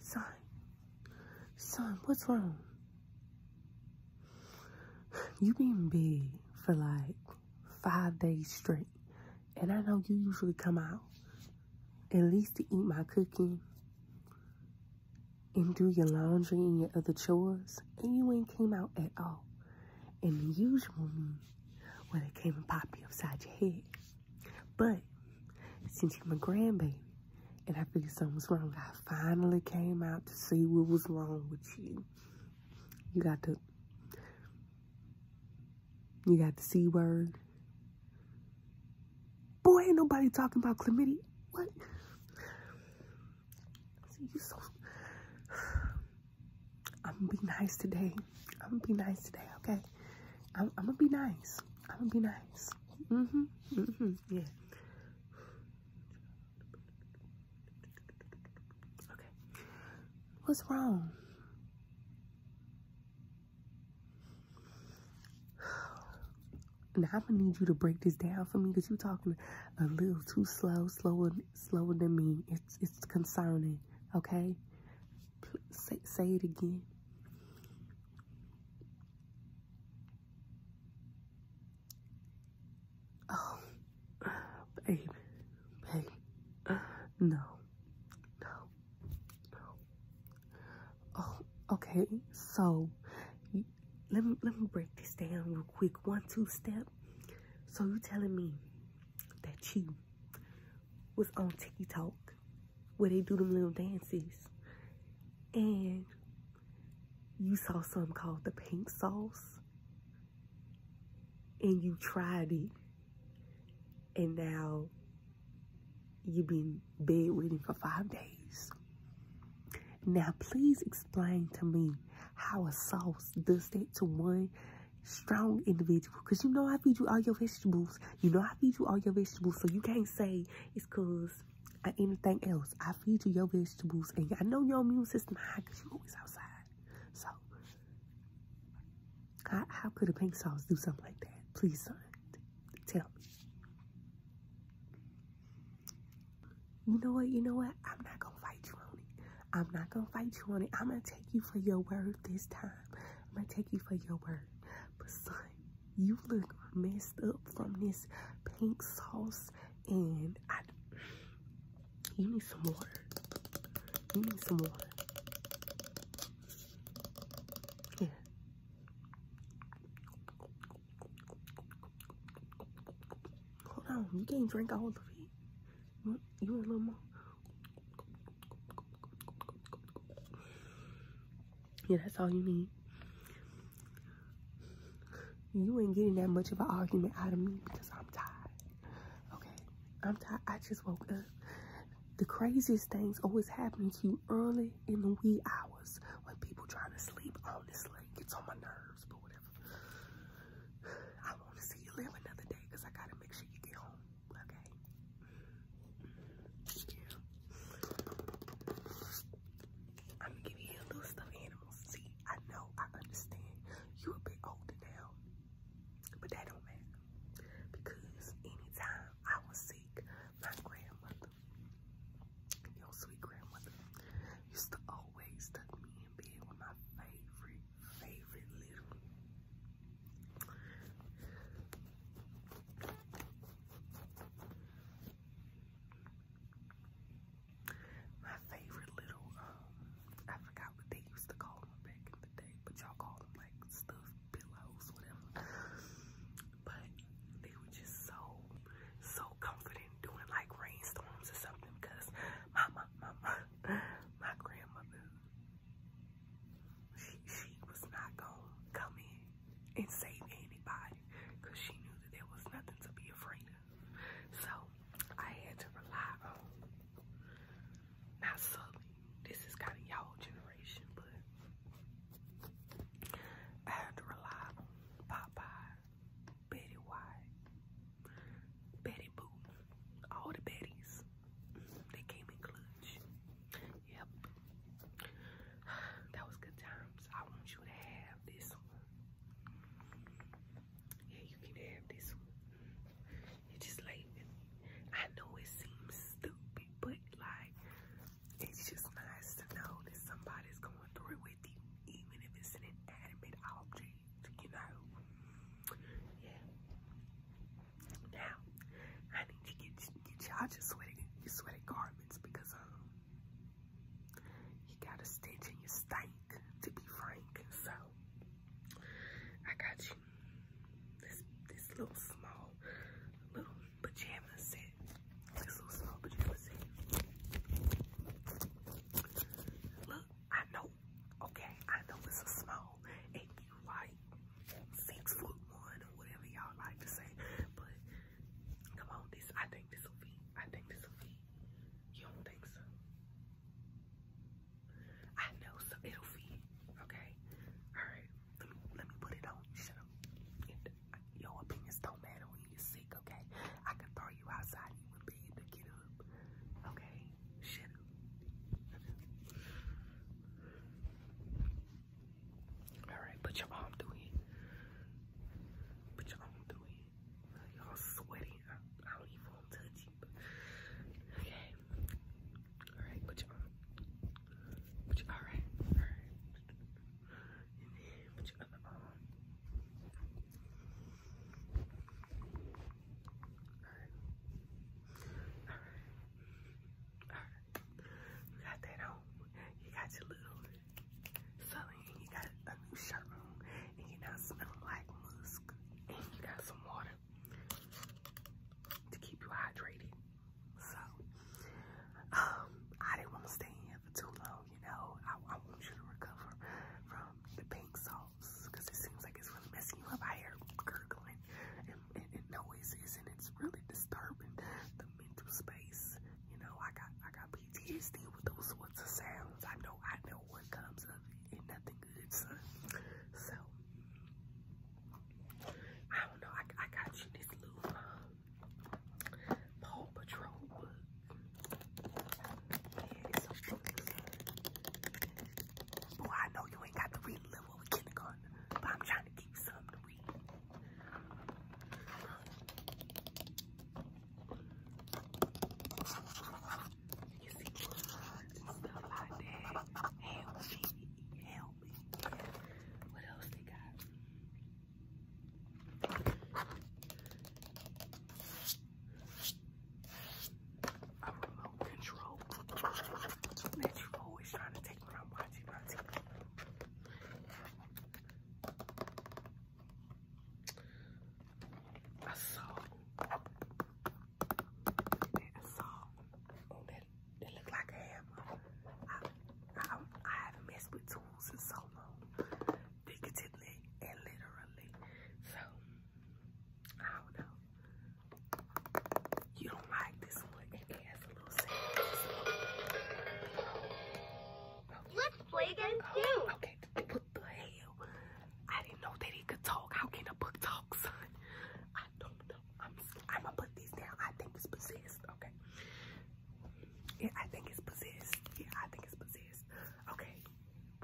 Son, son, what's wrong? You been in for like five days straight. And I know you usually come out at least to eat my cooking and do your laundry and your other chores. And you ain't came out at all. And the usual me, well, they came and popped you upside your head. But since you're my grandbaby and I figured something was wrong, I finally came out to see what was wrong with you. You got the you got the C word. Boy, ain't nobody talking about chlamydia. What? I'm gonna be nice today. I'm gonna be nice today, okay? I'm, gonna be nice. I'm gonna be nice. Mm-hmm. Mm-hmm. Yeah. Okay. What's wrong? Now I'm gonna need you to break this down for me because you're talking a little too slow, slower, slower than me. It's it's concerning, okay? Say, it again. Oh, baby, baby, no, no, no. Oh, okay. So, let me let me break this down real quick. One, two step. So you telling me that you was on TikTok where they do them little dances. And you saw some called the pink sauce. And you tried it. And now you've been bed waiting for five days. Now, please explain to me how a sauce does that to one strong individual because you know I feed you all your vegetables. You know I feed you all your vegetables, so you can't say it's because of anything else. I feed you your vegetables, and I know your immune system high because you always outside. So, how, how could a pink sauce do something like that? Please, son, tell me. You know what? You know what? I'm not gonna fight you on it. I'm not gonna fight you on it. I'm gonna take you for your word this time. I'm gonna take you for your word. But son, you look messed up from this pink sauce and I you need some water. You need some water. Yeah. Hold on, you can't drink all of it. You want a little more? Yeah, that's all you need. You ain't getting that much of an argument out of me because I'm tired. Okay? I'm tired. I just woke up. The craziest things always happen to you early in the wee hours when people trying to sleep. Honestly, it gets on my nerves, but whatever. I want to see you live another day because I got to make sure you get home. Okay. Yeah. I'm gonna give you a little stuffed animals. See, I know, I understand. You a bit older now, but that don't matter because anytime I was sick, my grandmother, your sweet grandmother, used to always tuck me in bed with my favorite favorite little my favorite little um I forgot what they used to call them back in the day, but y'all call them like stuffed pillows, whatever. But they were just so so comforting doing like rainstorms or something because my my my my, my grandmother she, was not gonna come in and save anybody because she knew that there was nothing to be afraid of. So I had to rely on Now, suddenly, This is kind of y'all generation, but I had to rely on Popeye, Betty White, Betty Boo, all the Bettys. They came in clutch. Yep. That was good times. I want you to have this one. Yeah, you can have this one. You just like, I know it seems stupid, but like, it's just nice to know that somebody's going through it with you, even if it's an object, you know? Yeah. Now, I need to get get y'all your sweaty sweaty garments because um you got a stitch in your stink to be frank. So I got you this this little small little pajama set. This little small pajama set. Look, I know Okay, I know it's a small and you like six foot one or whatever y'all like to say, but come on, this I think this will be. I think this will be. You don't think so? I know so it'll fit. Okay, all right. Let me put it on. Shut up. your opinions don't matter when you're sick. Okay, I can throw you outside. You would be able to get Okay, shit. Alright, put your arm through it. Put your arm through it. Y'all sweaty. I, don't even want to touch you. Okay. Alright, put your arm. Put your alright. Alright. And then put your other arm. All right. You got your little you got a new shirt on and you're not like musk. And you got some water to keep you hydrated. So, um, I didn't want to stay here for too long, you know. I, want you to recover from the pink soul else because it seems like it's really messing you up. I hear gurgling and, and, and noises, and it's really disturbing the mental space. You know, I got I got PTSD with those sorts of sounds. I know I know what comes of it, and nothing good. Son. So I don't know. I, I got you this little um, Paw Patrol book. Yeah, it's a book. Boy, I know you ain't got to read a little over kindergarten, but I'm trying to keep something to read. You see, stuff like that. Help me, help me. What else they got? I'm remote control. Man, you always trying to take what I'm watching my TV. I saw, I saw on that, that looked like a hammer. I, I, I haven't messed with tools in so long, figuratively and literally. So, I don't know. You don't like this one. It has a little Let's play again oh, too. Okay, what the hell? I didn't know that he could talk. How can a book talk, son? I don't know. I'm gonna put these down. I think it's possessed. Okay. Yeah, I think it's possessed. Yeah, I think it's possessed. Okay.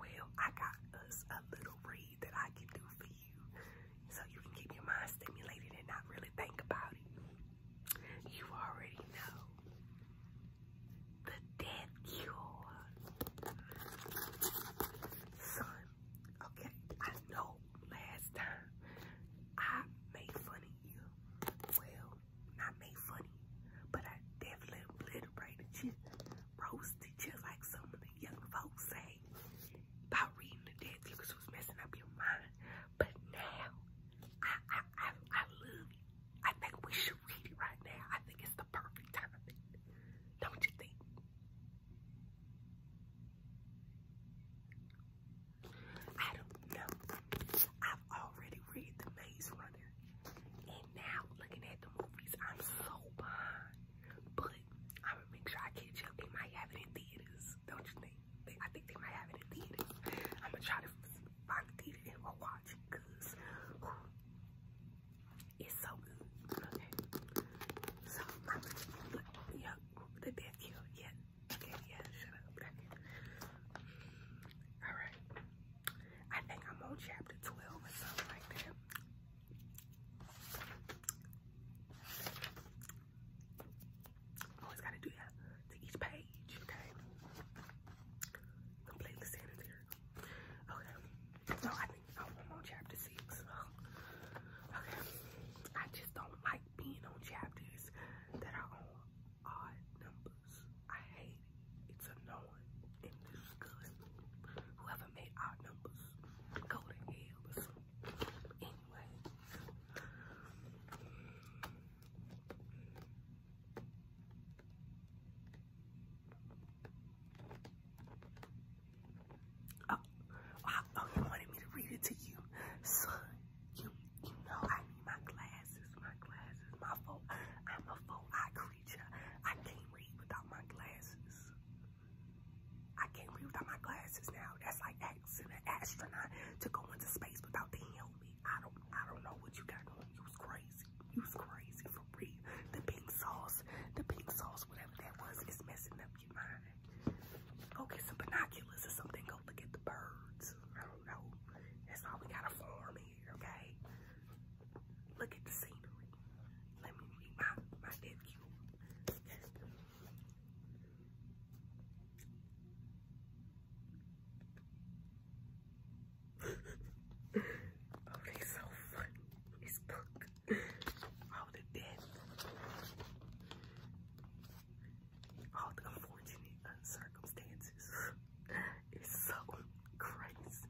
Well, I got us a little ring read that I can do for you so you can keep your mind stimulated and not really think about it. You already know the death cure. Son, okay, I know last time I made fun of you. Well, not made funny, but I definitely obliterated you roasted, just like some of the young folks say about reading the dead because was messing up your mind. But now, I, I, I, I love it. I think we should read it right now. I think it's the perfect timing. Don't you think? I don't know. I've already read The Maze Runner, right now looking at the movies. I'm so behind. But I'm gonna make sure I catch up. They might have it in theaters, don't you think? They, I think they might have it in theaters. I'm gonna try to find the theater and we'll watch it because it's so good. Okay. So I'm gonna look, yeah, the death kill, yeah. Okay, yeah, shut up. Alright. I think I'm on chapter 12 or something like that. Always gotta do that to each page, okay? Completely sanitary. Okay. No, I think I'm on chapter 6. Okay. I just don't like being on chapters that are on odd numbers. I hate it's annoying and disgusting. Whoever made our numbers, go to hell or something. Anyway. Oh, I, oh, you oh, wanted me to read it to you, son. You, you know I need my glasses, my glasses, my phone. I'm a phone. I create. I can't read without my glasses. I can't read without my glasses now. That's like asking an astronaut to go into space without the helmet. I don't, I don't know what you got going. You was crazy. You was crazy for real. The pink sauce, the pink sauce, whatever that was, is messing up your mind. Go get some binoculars or something. Go look at the birds. I don't know. That's all we got to farm okay? Look at the scenery. Let me read my, my nephew. oh, so funny. It's punk. All the death. All the unfortunate circumstances. It's so crazy.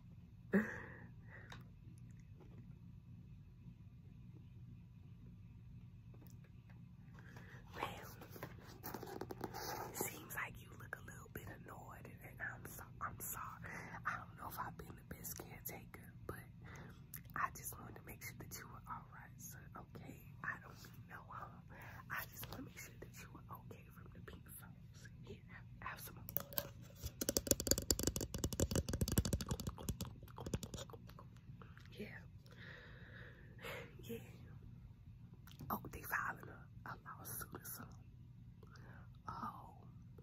Seems like you look a little bit annoyed, and, I'm so, I'm sorry. I don't know if I've been the best caretaker, but I just wanted to make sure that you were all right, sir. Okay, I don't need no huh? I just want to make sure that you were okay. Yeah. Yeah. Oh, they filing a, a lawsuit Oh,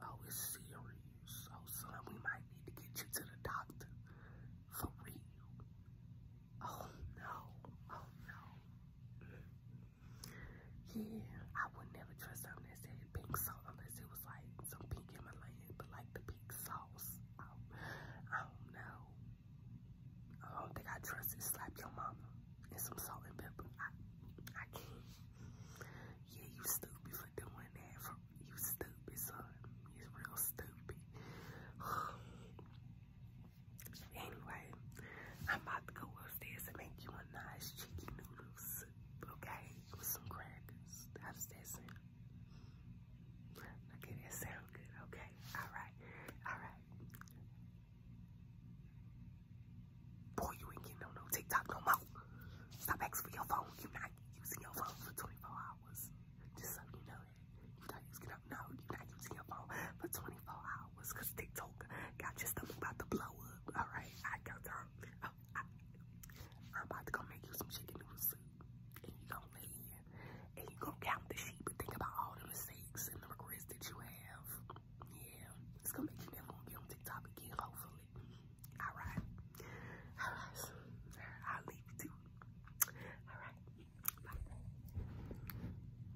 oh, it's serious. So, oh, son, we might need to get you to the doctor. For real. Oh, no. Oh, no. Yeah, I would never trust something that said pink salt unless it was like some pink Himalayan, but like the pink sauce. I don't, I don't know. I don't think I trust it. Slap your mama and some salt and pepper. I, I can't. Yeah, you stupid for doing that. For, you stupid son. You are real stupid. Anyway, I'm about to go upstairs and make you a nice chicken noodle soup, okay? With some crackers. How's that sound? Okay, that sound good, okay? Alright, alright. Boy, you ain't getting no, no TikTok no more. Stop asking for your phone. You're not using your phone for 24 hours. Just so you know that. You're not using, no, you're not using your phone for 24 hours followers TikTok got just something about to blow All right, I got her. Oh, I, am about to go make you some chicken noodle and you gonna and you going count the sheep and think about all the mistakes and the regrets that you have. Yeah, it's going make you never going on TikTok again, hopefully. All right, all right, I'll leave you to. All right, bye.